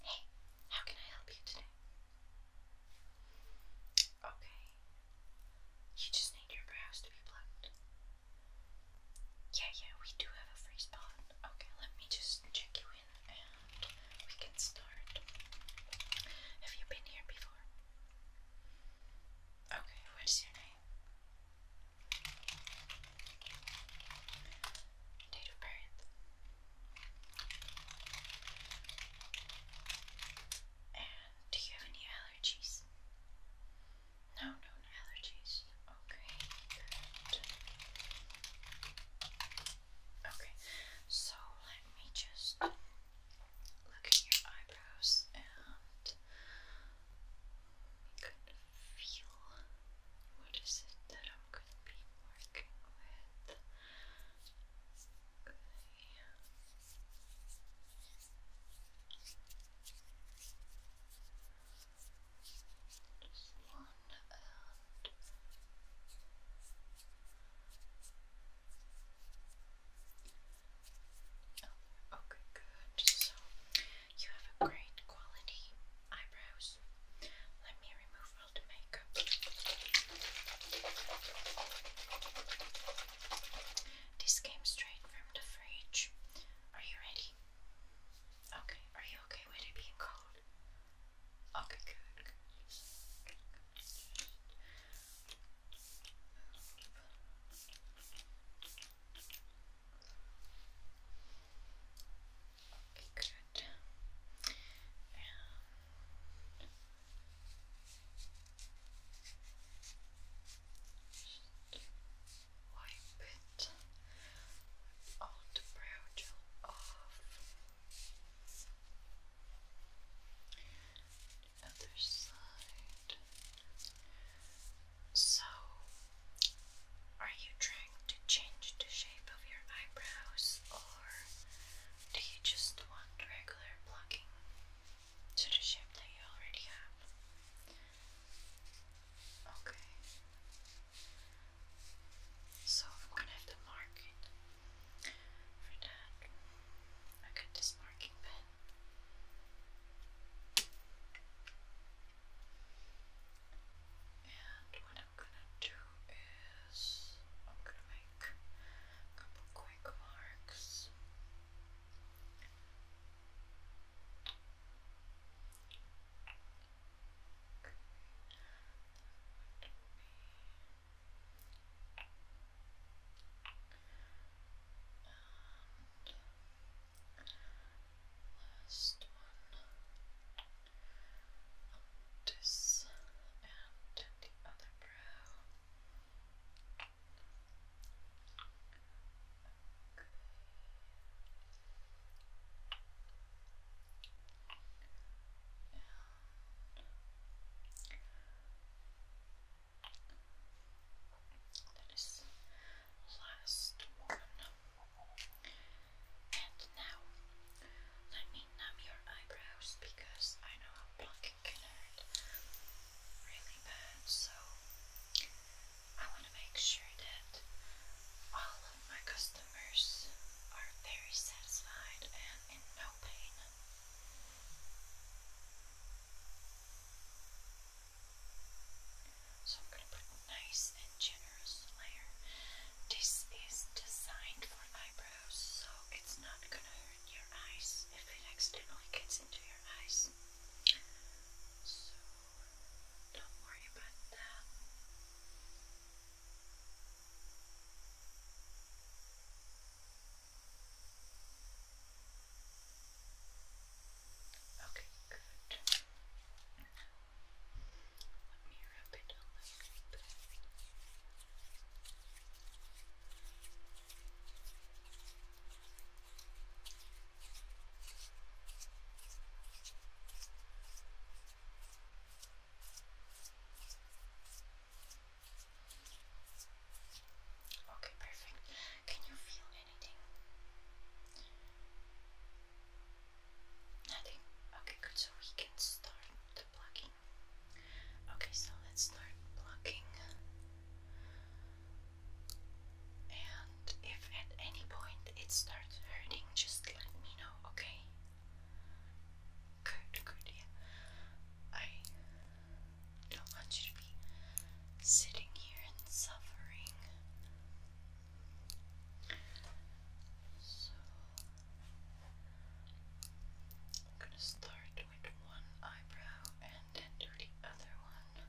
Hey, how can I help you today? Okay. You just need your brows to be plucked. Yeah, yeah, we do have a free spot. Okay, let me just check you in and we can start. Have you been here before? Okay, what is your name? Date of birth. And do you have any allergies? No known allergies. Okay, good. Okay, so let me just look at your eyebrows and kind of feel what is it that I'm going to be working with? Okay. Just one uh, Okay, good. So you have a great quality eyebrows. Let me remove all the makeup. This came straight from the fridge. Are you ready? Okay, are you okay with it being cold? Okay, good. Move. Okay, good. And wipe it all the brow gel off other side so, are you trying to change the shape of your eyebrows or do you just want regular plucking to the shape that you already have? Okay. So, I'm gonna have to mark it. For that, I got this marking pen. And what I'm gonna do is I'm gonna make a couple quick marks. Last one this and the other brow. Okay. And that is last one. And now, let me numb your eyebrows because I know how plucking can hurt really bad. So, I want to make sure that all of my customers are very satisfied and in no pain. So I'm going to put nice and generous layer. This is designed for eyebrows, so it's not going to hurt your eyes if it accidentally gets into your eyes. So don't worry about that. Okay, good. Let me rub it a little bit. Okay, perfect. Can you feel anything? Nothing. Okay, good. So we can start the plugging. Okay, so let's start blocking. And if at any point it starts hurting, just let me know, okay? Good, good, yeah. I don't want you to be sitting here and suffering. So, I'm going to start with one eyebrow and then the other one.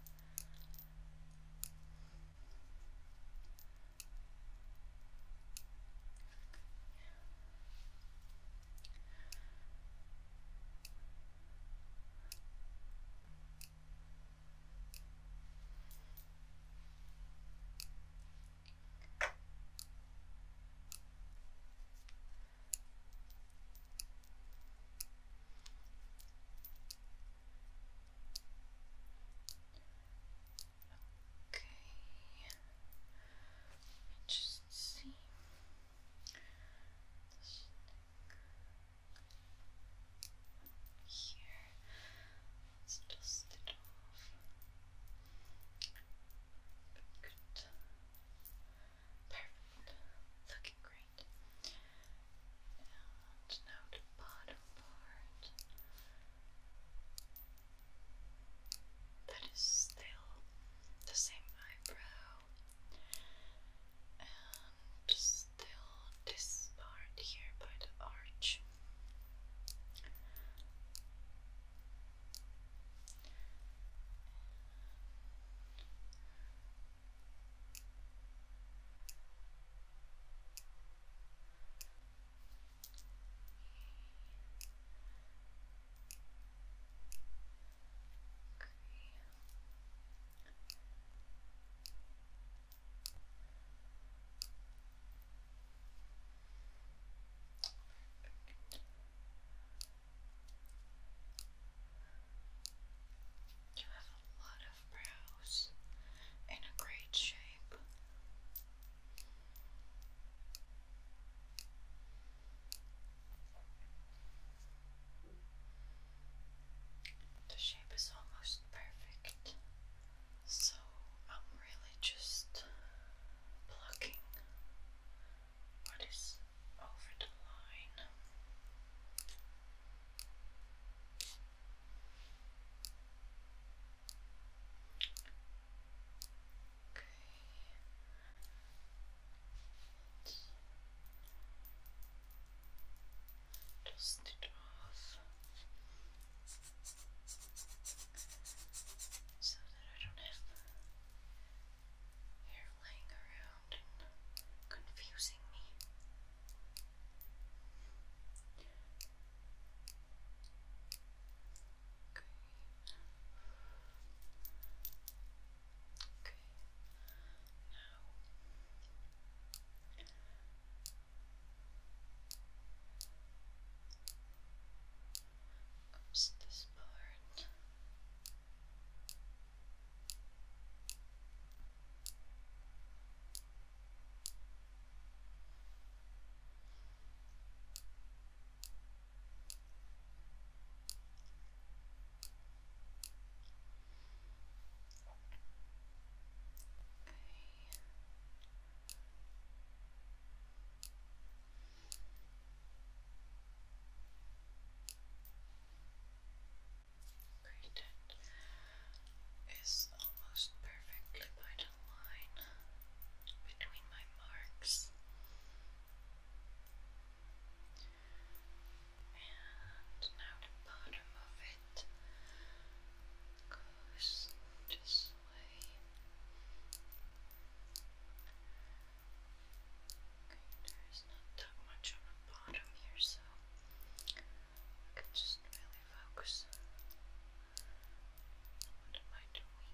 Okay, just see. Here, let's dust it off. Good. Perfect. Looking great. And now the bottom part that is still the same eyebrow. Just still this part here by the arch. You have a lot of brows in a great shape. The shape is almost perfect, so I'm really just plucking what is over the line. Okay. Dust it off so that I don't have hair laying around and confusing me. Okay. Okay. Now comes this part. Okay. Great, it is almost perfectly by the line between my marks. And now the bottom of it goes this way. Okay, there's not that much on the bottom here, so I can just really focus what am I doing?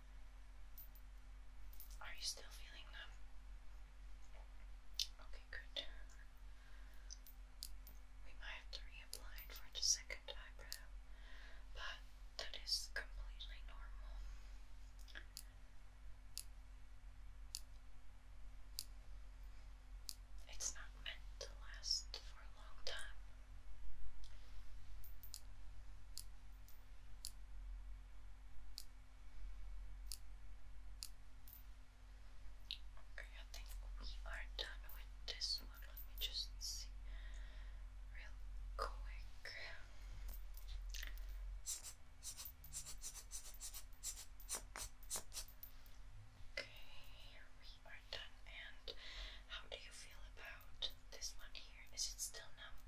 Are you still feeling them? Okay, good. We might have to reapply for the second eyebrow, but that is completely normal. It's not meant to last for a long time. Okay, I think we are done with this one. Let me just see real quick. Okay, we are done and how do you feel about this one here? Is it still numb?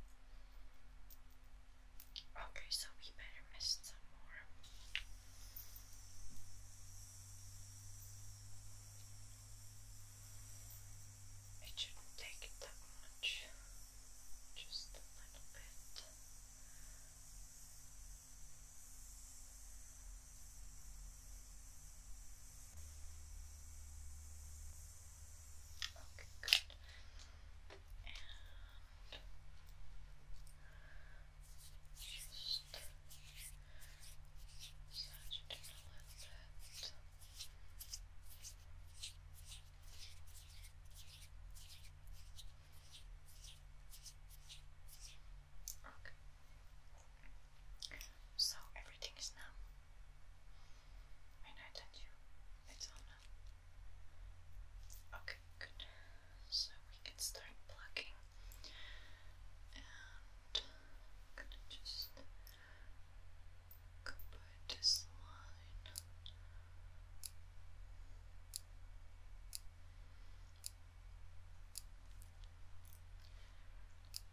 Okay, so we better rest some more. It shouldn't take that much, just a little bit. Okay, good. just massage it a little bit. Okay. So everything is now when I touch you, it's on now. Okay, good. So we can start plugging. And I'm gonna just go this line.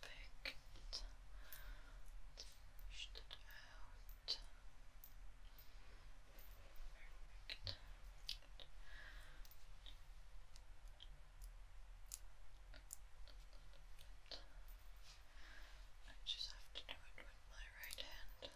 Perfect. Push it out. Perfect. I just have to do it with my right hand.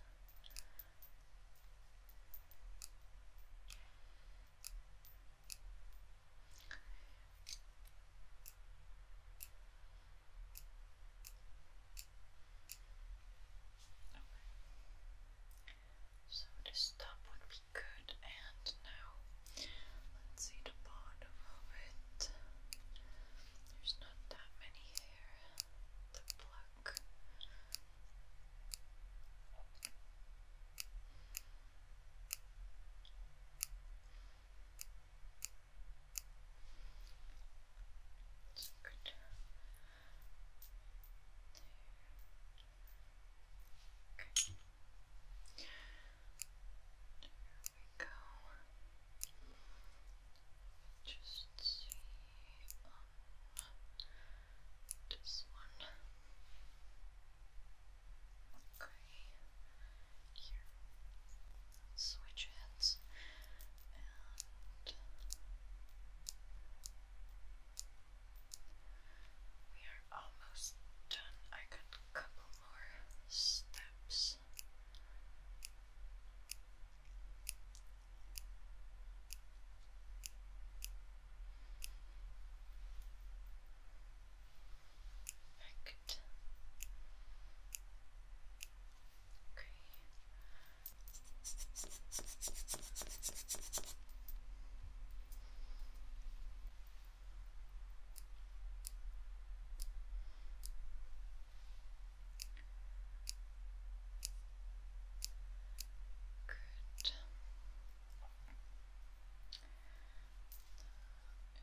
So this top would be good, and now let's see the bottom of it. There's not that many here to pluck. Good. Okay. There we go. Just see this one. Okay. Here. Switch hands and we are almost done. I got a couple more steps. Perfect. Okay. Good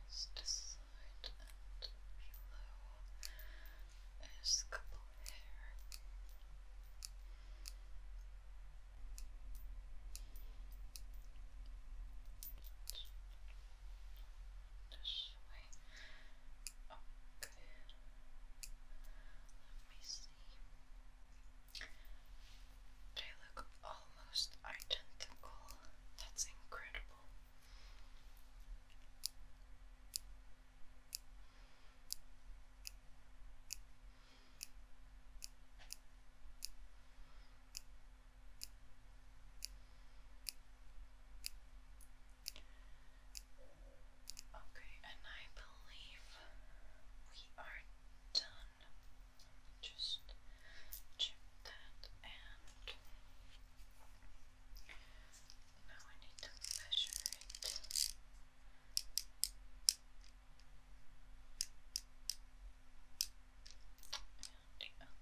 is this side and below is a couple of hair. This way. Okay. Let me see. They look almost identical. That's incredible. Okay, and I believe we are done. just check that and now I need to measure it. And the other one.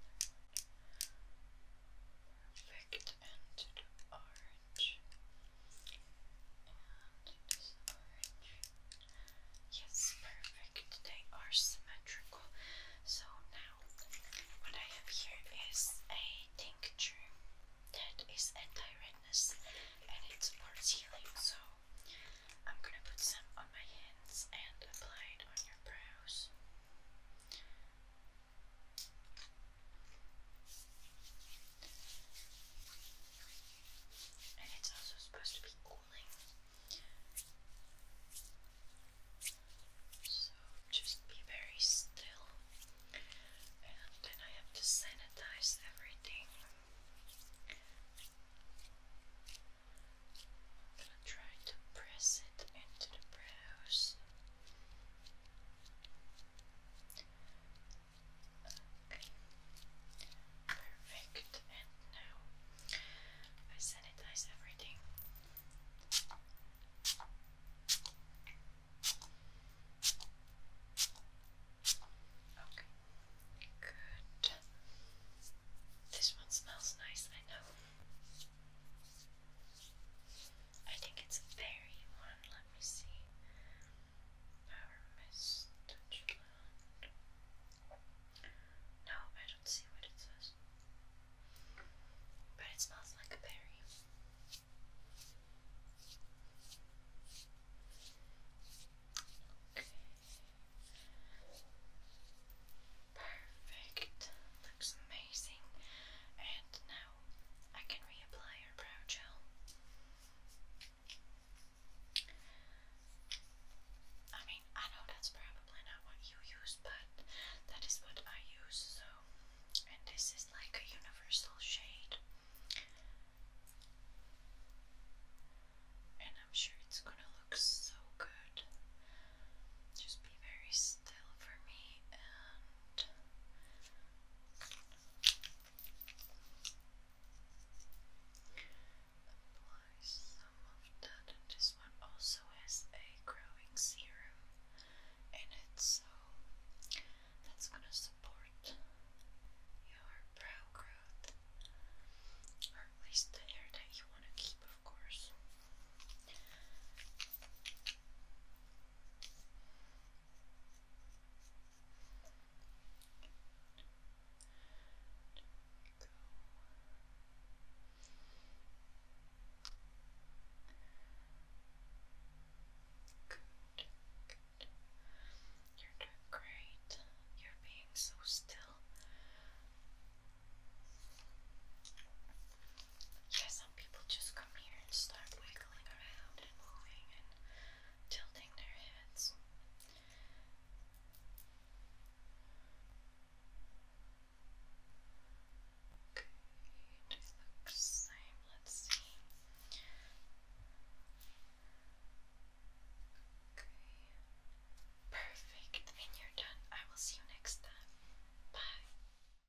Perfect, and to the arm. And it is orange. Yes, perfect. They are symmetrical. So now, what I have here is a tincture that is anti-redness and it supports healing. So I'm gonna put some on my hands and apply it on your brows. And it's also supposed to be cooling. So just be very still. And then I have to sanitize everything. I'm gonna try to press it into the brows. Perfect. And now I sanitize everything. Okay. Good. This one smells nice, I know. I think it's berry one. Let me see. Power Miss No, I don't see what it says. But it smells like a berry. Perfect. Looks amazing. And now I can reapply our brow gel. I mean, I know that's probably not what you use, but that is what I use, so. And this is like a universal shade. And I'm sure it's gonna look so good. Just be very still for me and Apply some of that. This one also has a growing serum in it, so that's gonna support your brow growth, or at least the hair that you want to keep, of course. Good. You're doing great. You're being so still. Yeah, some people just come here and start wiggling around and moving and tilting their heads. Okay, looks same. Let's see. Okay. Perfect. And you're done. I will see you next time. Bye.